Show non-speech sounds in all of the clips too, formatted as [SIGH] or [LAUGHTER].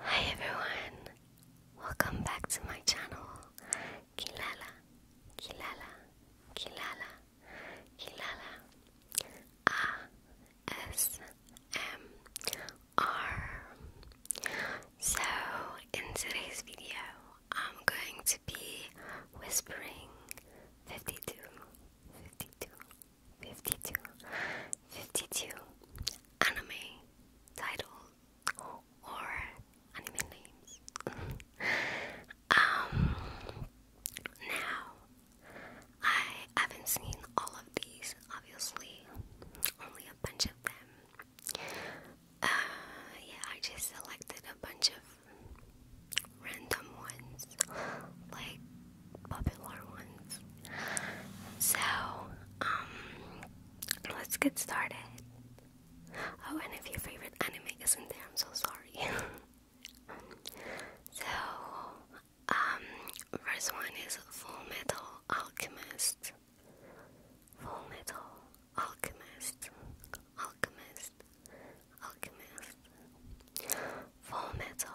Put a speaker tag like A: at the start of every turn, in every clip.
A: Hi everyone, welcome back to my channel. Kilala, Kilala, Kilala, Kilala. A S M R. So in today's video, I'm going to be whispering 52, 52, 52 52 anime titles or anime names um now I haven't seen all of these obviously only a bunch of them uh yeah I just selected a bunch of random ones like popular ones. So, um, let's get started. Oh, and if your favorite anime isn't there, I'm so sorry. [LAUGHS] so, um, first one is Full Metal Alchemist. Full Metal Alchemist. Alchemist. Alchemist. Full Metal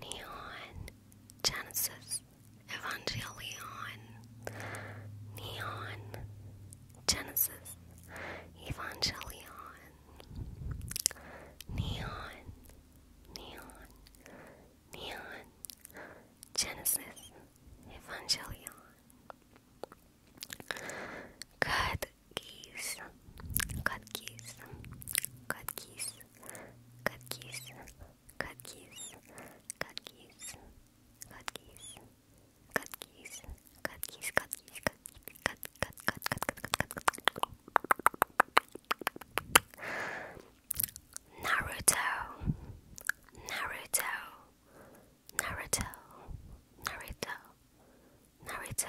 A: Neon, Genesis, Evangelion, Neon, Genesis, Evangelion, Neon, Neon, Neon, Genesis, Evangelion. Good geese, good geese, good geese, cookies, cookies, cookies, cookies, cookies, cookies, cookies, cookies, Naruto, Naruto, Naruto, Naruto, Naruto.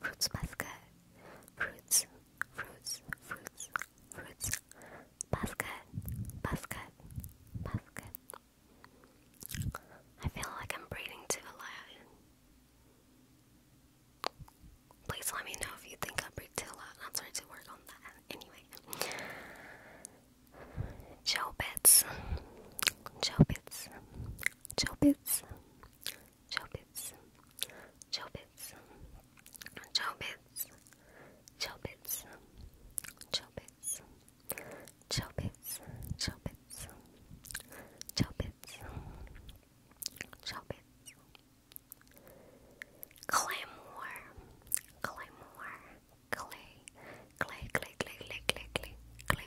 A: Fruits basket. Fruits, fruits, fruits, fruits. Basket, basket, basket. I feel like I'm breathing too loud. Please let me know if you think I breathe too loud. I'm sorry to work on that. Anyway. Joe Bits. Chopits, chopits, chopits, chopits, chopits, chopits, chopits, chopits, Chobits, Chobits, Claymore, Claymore, Clay, Clay, Clay, Clay, Clay, Clay, Clay,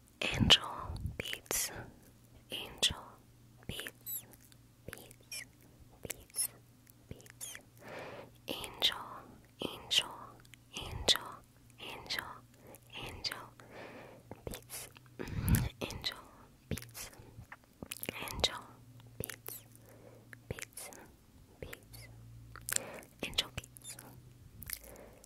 A: Angel beats, angel beats, beats, beats, beats. Angel, angel, angel, angel, angel, beats, angel, beats, angel, beats, beats, beats, angel beats.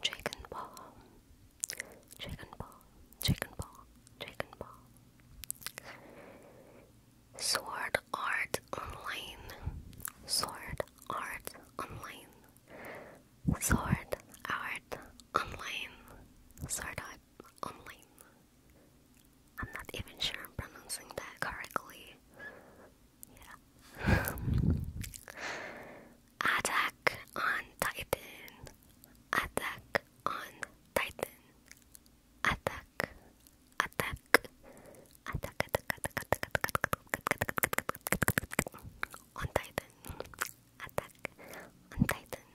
A: Chicken ball, chicken ball, chicken ball, chicken ball. Sword Art Online, Sword Art Online, Sword Art Online, Sword Art Online. I'm not even sure I'm pronouncing that correctly. Yeah. [LAUGHS] Attack on Titan. Attack on Titan. Attack. Attack. Attack. Attack. Attack. Attack. On Titan. Attack. On Titan.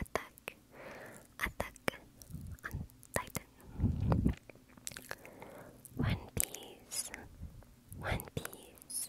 A: Attack. Attack. On Titan. One Piece. One Piece.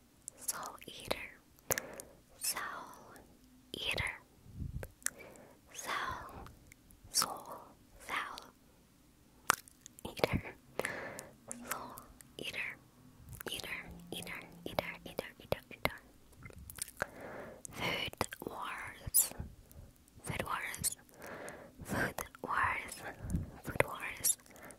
A: Soul Eater, Soul Eater, Soul, Soul, Soul Eater, Soul Eater, Eater, Eater, Eater, Eater, Eater, Eater. Food Wars, Food Wars, Food Wars, Food Wars.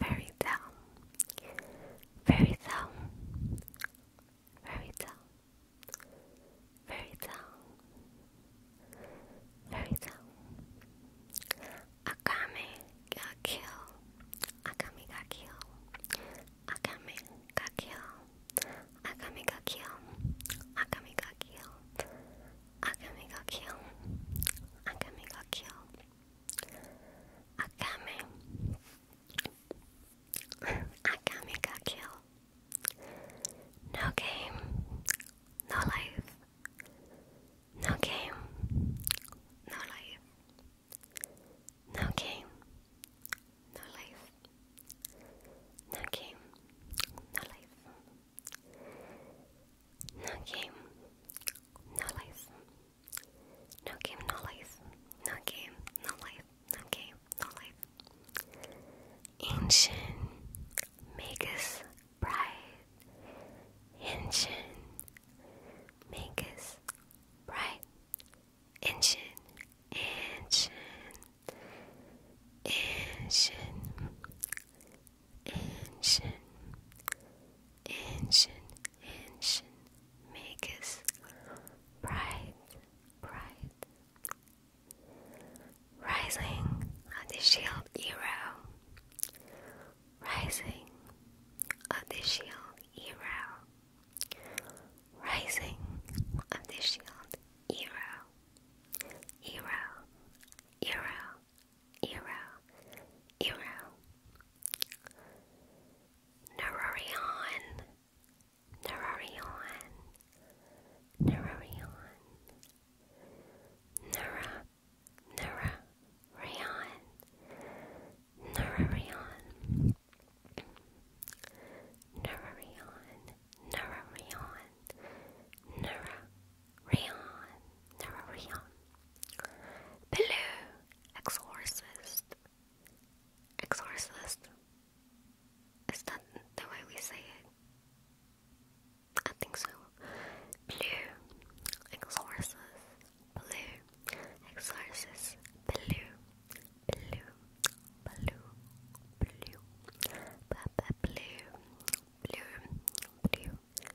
A: very down. Very down. Very down. Very down. Very down. Akame got killed. Akame got killed. Akame got killed. Akame got killed. Akame got killed. Akame got killed. Akame got killed. Akame. Akame got killed. No game, no life. No game, no life. No game, no life. No game, no life. No game, no life. No game, no life. No game, no life. No game, no life. Ancient Magus Bride. Ancient Magus Bride. Ancient, ancient, ancient, ancient, ancient, ancient makers bright, bright. Rising of the Shield Hero, rising of the Shield Hero, rising of the Shield Hero, Hero, Hero. Eero, Eero, Nerorion, Nerorion, Nerorion, Nera, Nera, Rayon, Nerorion, Nerorion, Nerorion, Nera. Rayon, Nora Rayon. Baloo, Exorcist. Exorcist. Is that the way we say it? I think so. Blue. Exorcist. Blue. Exorcist. Blue. Blue. Blue. Blue. Blue. Blue. Blue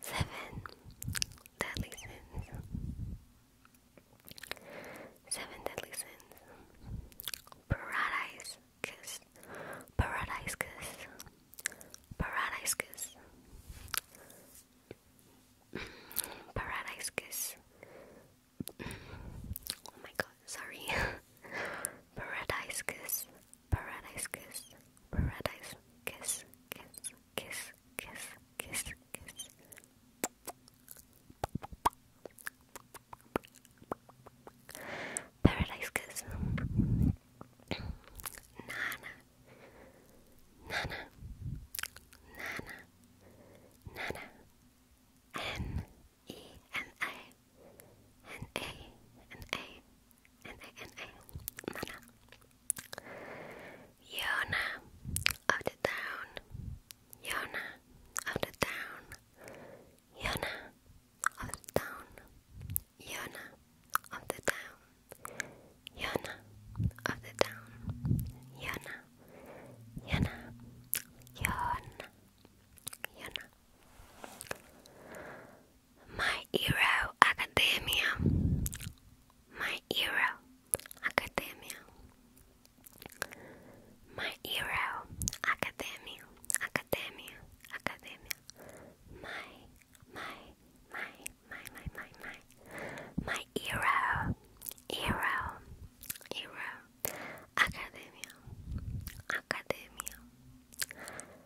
A: Seven deadly sins. Seven deadly sins. Paradise kiss. Paradise kiss. Paradise kiss. Paradise kiss. oh my god, sorry. [LAUGHS] Paradise kiss. Paradise kiss, paradise kiss, kiss, kiss, kiss, kiss, kiss. Paradise kiss. Nana, Nana, Nana, Nana. N E N A, N A, N A. N-A-N-A, Nana. Yona of the town, Yona of the town, Yona of the town, Yona of the town, Yona of the town, Yona, Yona, Yona, Yona. My Hero Academia. My Hero Academia. My Hero Academia. Academia. Academia. My, my, my, my, my, my, my. My Hero. Hero. Hero. Academia. Academia.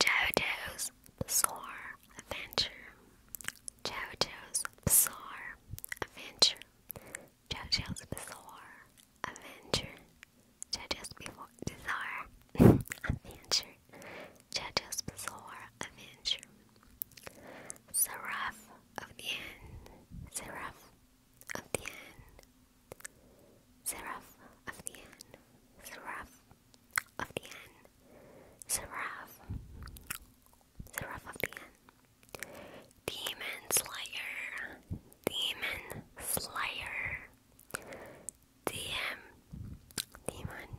A: Jojo's Bizarre Adventure. Jojo's Bizarre Adventure. Jojo's Bizarre Adventure. Jojo's Bizarre Adventure. Jojo's Bizarre Adventure. Seraph of the End. Seraph of the End. Seraph of the End, Seraph of the End, Seraph, Seraph of the End, Demon Slayer, Demon Slayer, DM, Demon,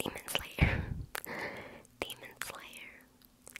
A: Demon Slayer, [LAUGHS] Demon Slayer,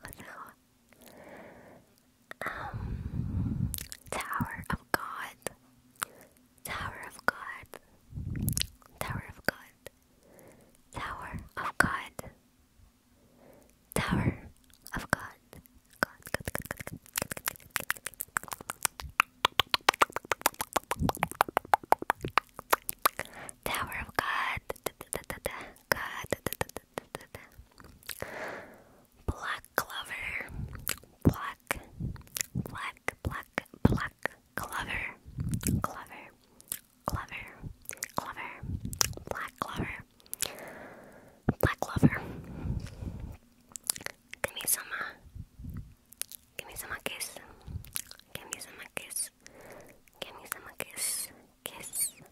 A: what's Tower of God. Tower of God. Tower of God. Tower of God. Tower of God, God. Tower of God. God. Black Glover. Black. Black. Black. Black. Glover. Glover. Glover. Glover. Black Glover. Black Glover. Give me some. Uh, give me some uh, kiss. Give me some uh, kiss. Give me some kiss. Kiss.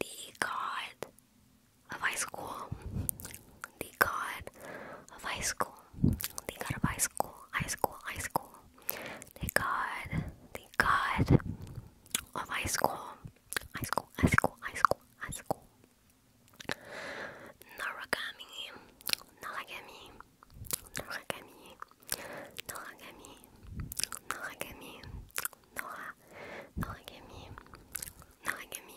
A: The god of high school. The god of high school. The god of high school. High school. High school. The god. The god of high school. High school. High school. High school. High school. Naragami. Naragami. Naragami. Naragami. Naragami. Nora Nagami, Nagami,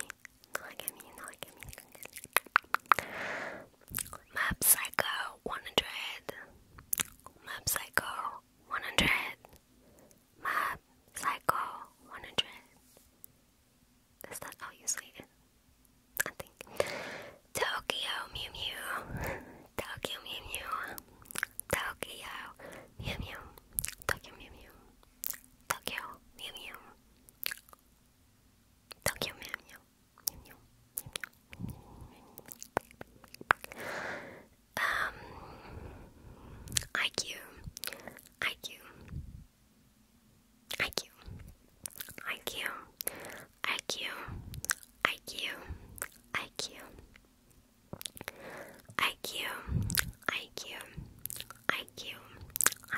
A: Nagami, Nagami. Map Psycho 100. Map Psycho 100. Map Psycho 100. Is that how you say it? I think. Tokyo Mew Mew. [LAUGHS] Tokyo Mew Mew. Tokyo, meow meow. Tokyo, meow meow. Tokyo, meow meow. Tokyo, meow meow. Meow meow. Meow meow. Um, IQ, IQ, IQ, IQ, IQ, IQ, IQ. IQ, IQ, IQ,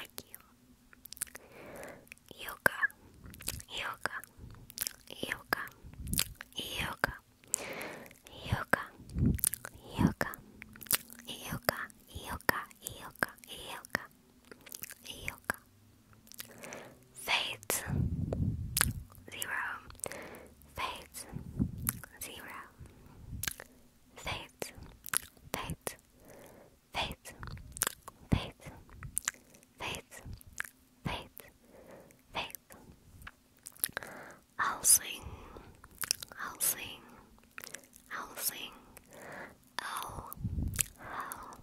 A: IQ. Yoga, yoga, yoga, yoga, yoga, yoga, yoga, yoga, yoga, yoga, yoga. Faith, zero fades, zero, fades, fades, fades, fades, fades, fades, fades. I'll sing, I'll sing, I'll sing. I'll, I'll,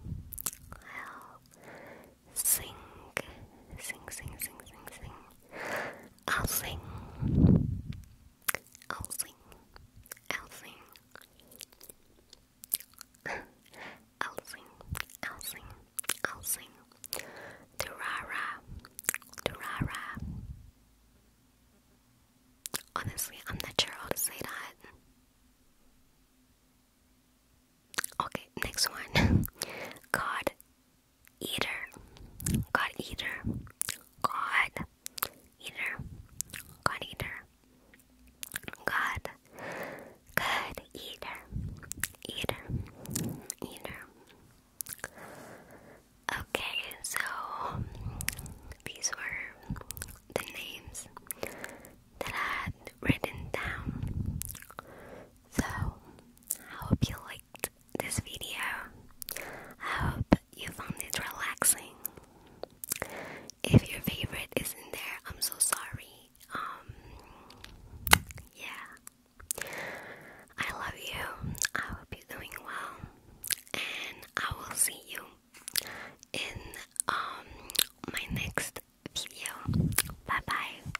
A: I'll sing, sing, sing, sing, sing, sing. I'll sing. I'll sing. I'll sing. I'll sing. I'll sing. I'll sing. Durara. Durara. Honestly, I'm not sure how to say that. Okay, next one. [LAUGHS] God eater, God eater, God eater, God eater, God, God eater, eater, eater. Okay, so these were the names that I had written down. So I hope you liked this video. I hope you found it relaxing. If your favorite isn't there, I'm so sorry. Um, yeah. I love you. I hope you're doing well. And I will see you in um my next video. Bye bye.